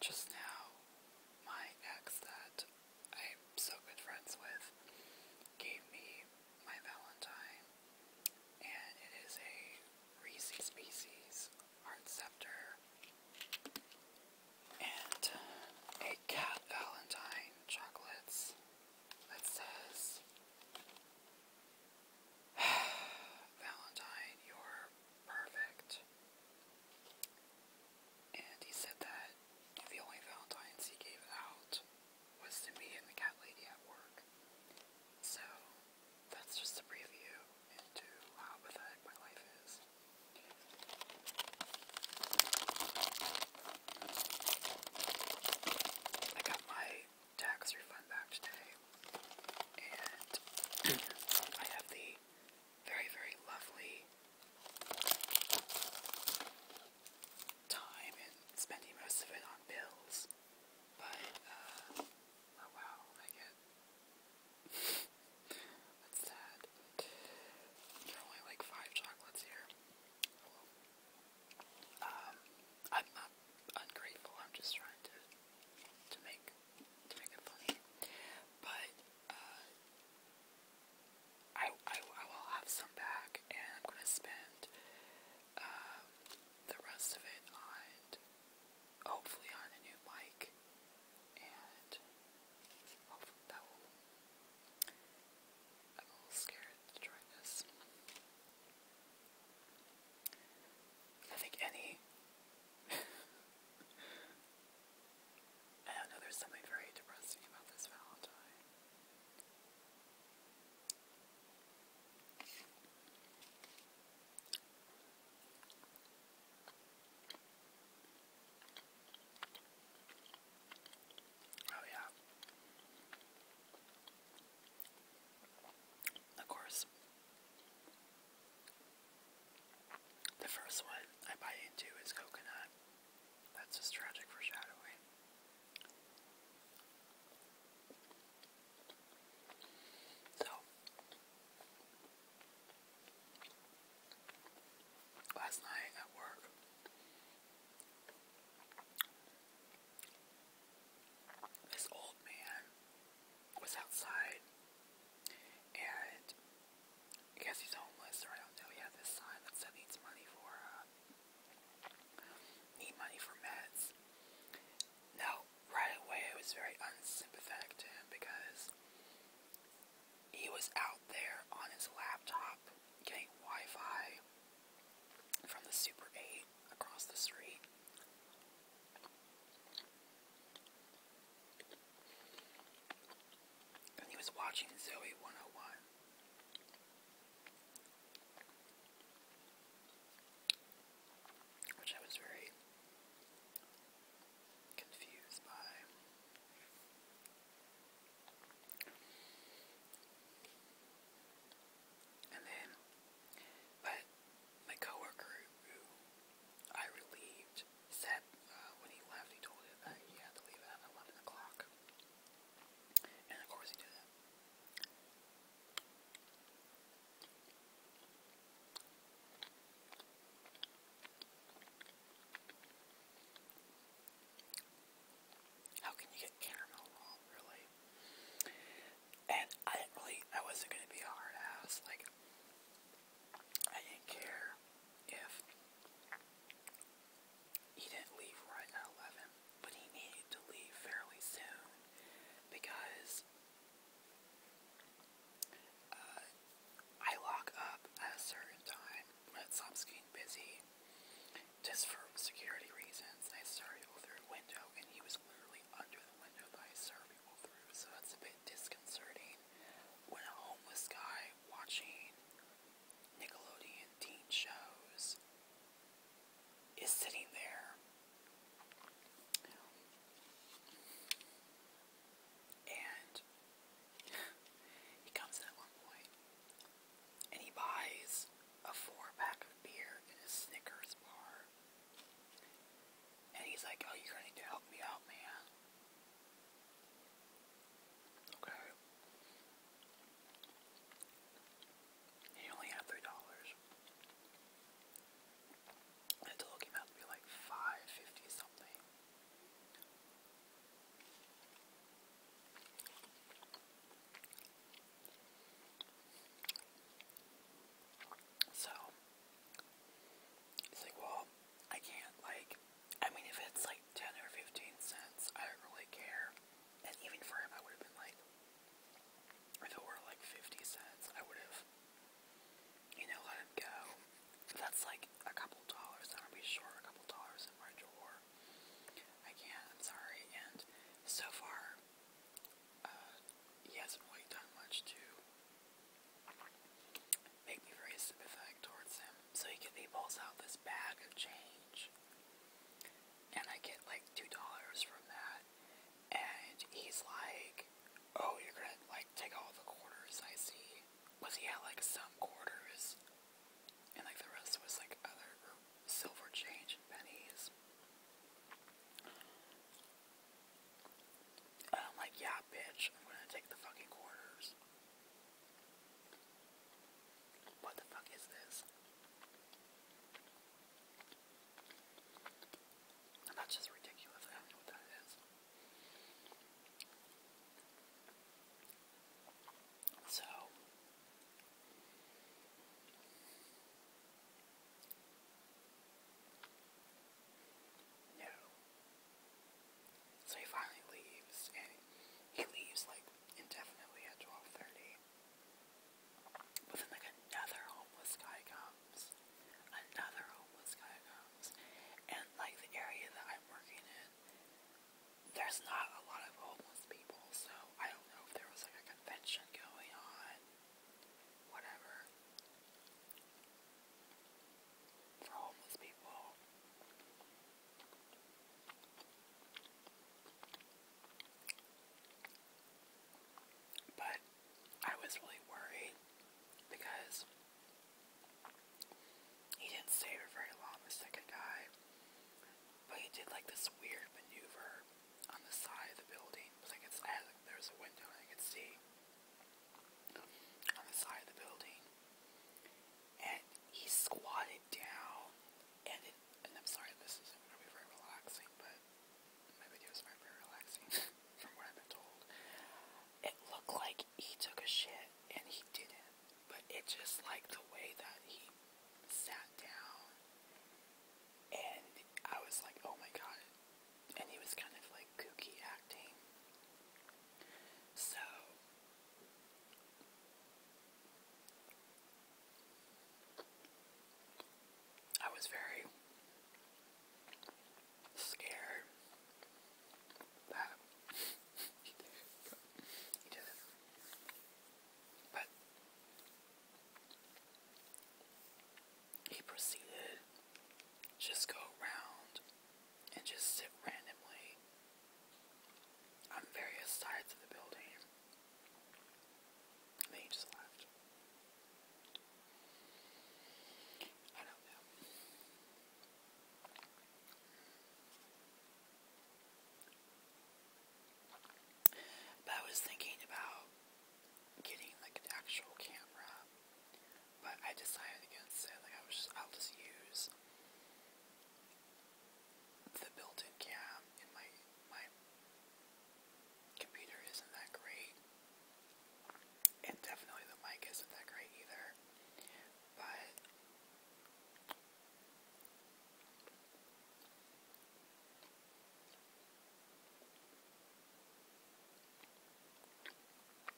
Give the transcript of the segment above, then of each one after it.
Just now, my ex that I'm so good friends with gave me my Valentine, and it is a Reese's Pieces Heart Scepter and a Cat Valentine chocolates that says, Valentine, your Perfect. And he said that the only Valentines he gave out was to me and the cat lady at work. So that's just a preview into how pathetic my life is. I got my tax refund back today. And I have the very, very lovely time and spending most of it on bills. But, uh, oh wow, I get. That's sad. There are only like five chocolates here. Um, I'm not ungrateful, I'm just trying to to make to make it funny. But uh, I, I will have some back, and I'm gonna spend um, the rest of it on hopefully on a new mic, and that will. I'm a little scared to try this. I think any I don't know, there's something very depressing about this Valentine. Oh, yeah. Of course, the first one I bite into is coconut. That's just tragic foreshadowing. So, last night at work, this old man was outside, and I guess he's homeless, or I don't know. He had this sign that said needs money for uh, need money for meds. Now, right away, I was very unsympathetic to him because he was out there on his laptop getting Wi-Fi from the Super 8 across the street. And he was watching Zoe 101. Which I was very confused by. And then, but my coworker who I relieved said uh, when he left, he told him that he had to leave at 11 o'clock. And of course he did How can you get caramel wrong, really? And I didn't really, I wasn't going to be a hard ass. Like, I didn't care if he didn't leave right at 11, but he needed to leave fairly soon because uh, I lock up at a certain time But it stops getting busy just for security reasons. I started through a window and he was literally under window that I people through, so that's a bit disconcerting. When a homeless guy watching Nickelodeon teen shows is sitting there and he comes in at one point and he buys a four pack of beer in a Snickers bar and he's like, oh, you're gonna help me out, man. Okay. He only had three dollars. I had to look to be like five fifty something. So it's like, well, I can't like I mean if it's like ten or fifteen cents, I don't really care. And even for him I would have been like if it were like fifty cents, I would have you know, let him go. That's like a couple dollars, I'm gonna be short a couple dollars in my drawer. I can't, I'm sorry. And so far uh, he hasn't really done much to make me very sympathetic towards him. So he, get, he pulls out this bag of change, and I get like two dollars from that. And he's like, "Oh, you're gonna like take all the quarters I see." Was he had like some quarters, and like the rest was like other or silver change and pennies. I'm like, yeah, bitch, I'm gonna take the fucking quarters. What the fuck is this? that's just ridiculous. I don't know what that is. So, so he finally leaves, and he leaves like indefinitely at 12:30. But then like another homeless guy comes, another homeless guy comes, and like the area that I'm working in, there's not a lot of homeless people, so I don't know if there was like a convention going on whatever. For homeless people, but I was really worried because he didn't stay for very long, the second guy, but he did like this weird maneuver on the side of the building, because I can, there's a window and I can see on the side of the building. And he squatted down, and and I'm sorry, this isn't going to be very relaxing, but my videos aren't very relaxing from what I've been told. It looked like he took a shit, and he didn't, but it just like the way that he sat down and I was like, oh my god. And he was kind of like kooky acting. So, I was very scared But he proceeded, just go around and just sit randomly on various sides of the building. then he just left. I don't know. But I was thinking about getting like an actual camera, but I decided against it. Like I was I'll just use the built-in cam in my my computer isn't that great, and definitely the mic isn't that great either. But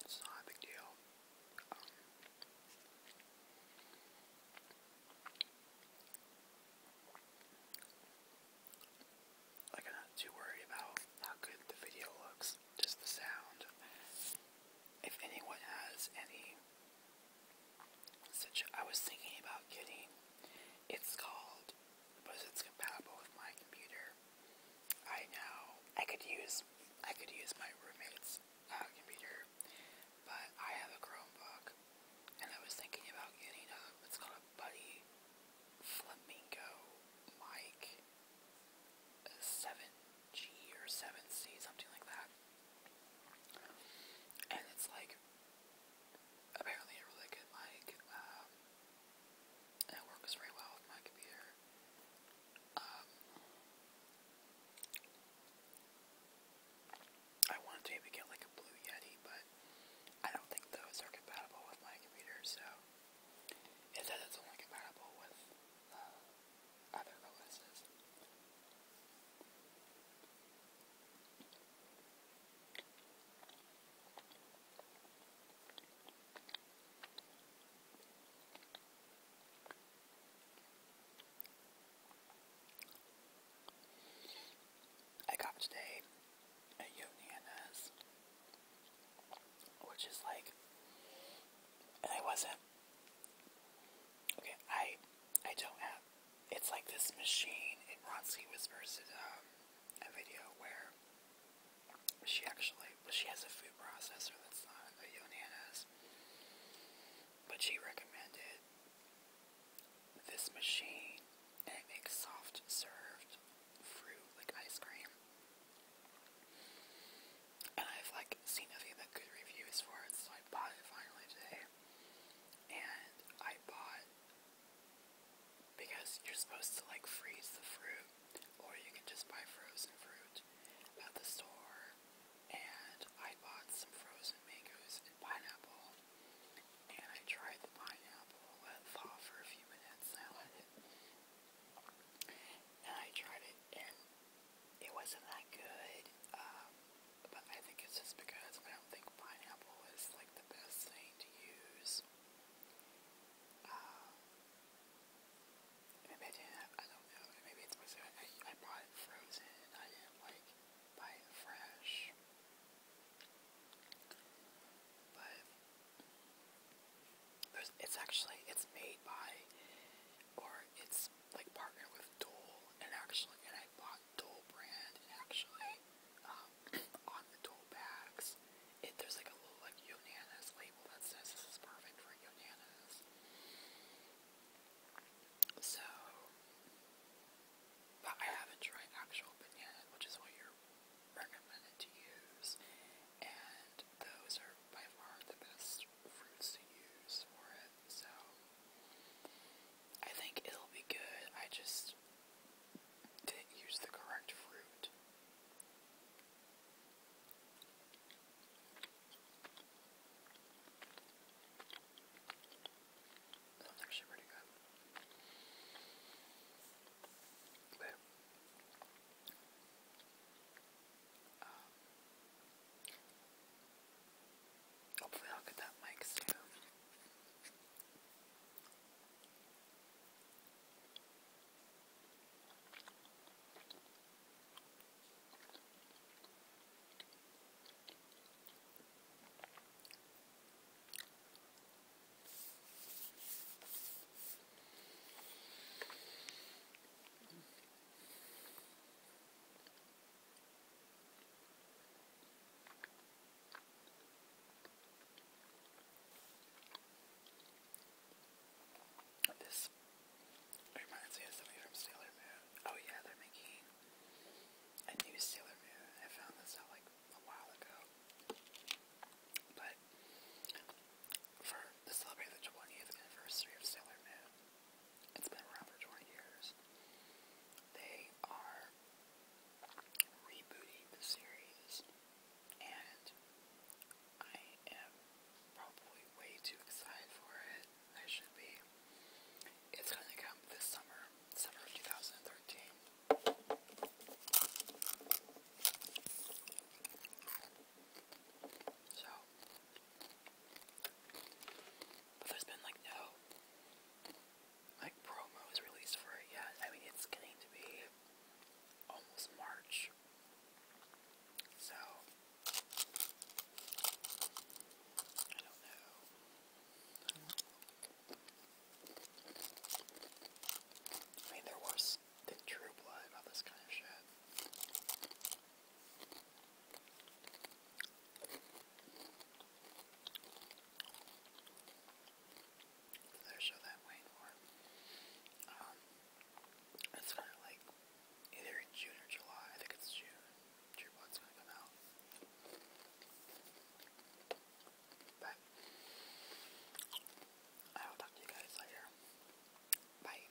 it's not a big deal. Um, I'm not too worried about how good the video looks, just the sound. If anyone has any I was thinking about getting. It's called, but it's compatible with my computer. I know I could use I could use my roommate's uh, computer, but I have a Chromebook, and I was thinking about getting a It's called a Buddy Flamingo mic, seven G or seven C, something like that. And it's like apparently a really good mic, um, it works very well with my computer. Um, I wanted to maybe get like a Blue Yeti, but I don't think those are compatible with my computer, so it says it's only compatible with uh, other OSs. I got today at Yoniana's, which is like, I wasn't. Okay, I I don't have it's like this machine. And Ronsky Whispers did um, a video where she actually, she has a food processor that's not a Yonana's, but she recommended this machine, and it makes soft served fruit like ice cream. And I've like seen nothing but good reviews for it, so I bought it finally today and I bought because you're supposed to like freeze the fruit, or you can just buy frozen fruit at the store. And I bought some frozen mangoes and pineapple, and I tried the pineapple, let it for a few minutes, and And I tried it, and it wasn't that good, um, but I think it's just because I don't think pineapple is like the best thing to use. Um, maybe I don't know, maybe it's because I, I bought it frozen and I didn't like buy it fresh. But it's actually, it's made by, or it's like partnered with Dole and actually, and I bought Dole brand and actually, um, on the Dole bags, there's like a little like Yonanas label that says this is perfect for Yonanas. So, but I haven't tried actual banana, which is what you're recommended to use, and those are by far the best fruits to use for it. So. I think it'll be good. I just didn't use the correct fruit. That's actually pretty good. But um, hopefully, I'll get that mic soon. This reminds me of something from Sailor Moon. Oh yeah, they're making a new Sailor Moon. I found this out like a while ago. But for the celebrate the 20th anniversary of Sailor Moon, it's been around for 20 years. They are rebooting the series, and I am probably way too excited for it. I should be. It's going to come this summer, summer 2013. So, but there's been like no like promos released for it yet. I mean it's getting to be almost March. So I don't know. I mean, they're worse True Blood about this kind of shit. There's so that way for um, it's kind of like either in June or July. I think it's June. True Blood's gonna come out. But I will talk to you guys later. Bye.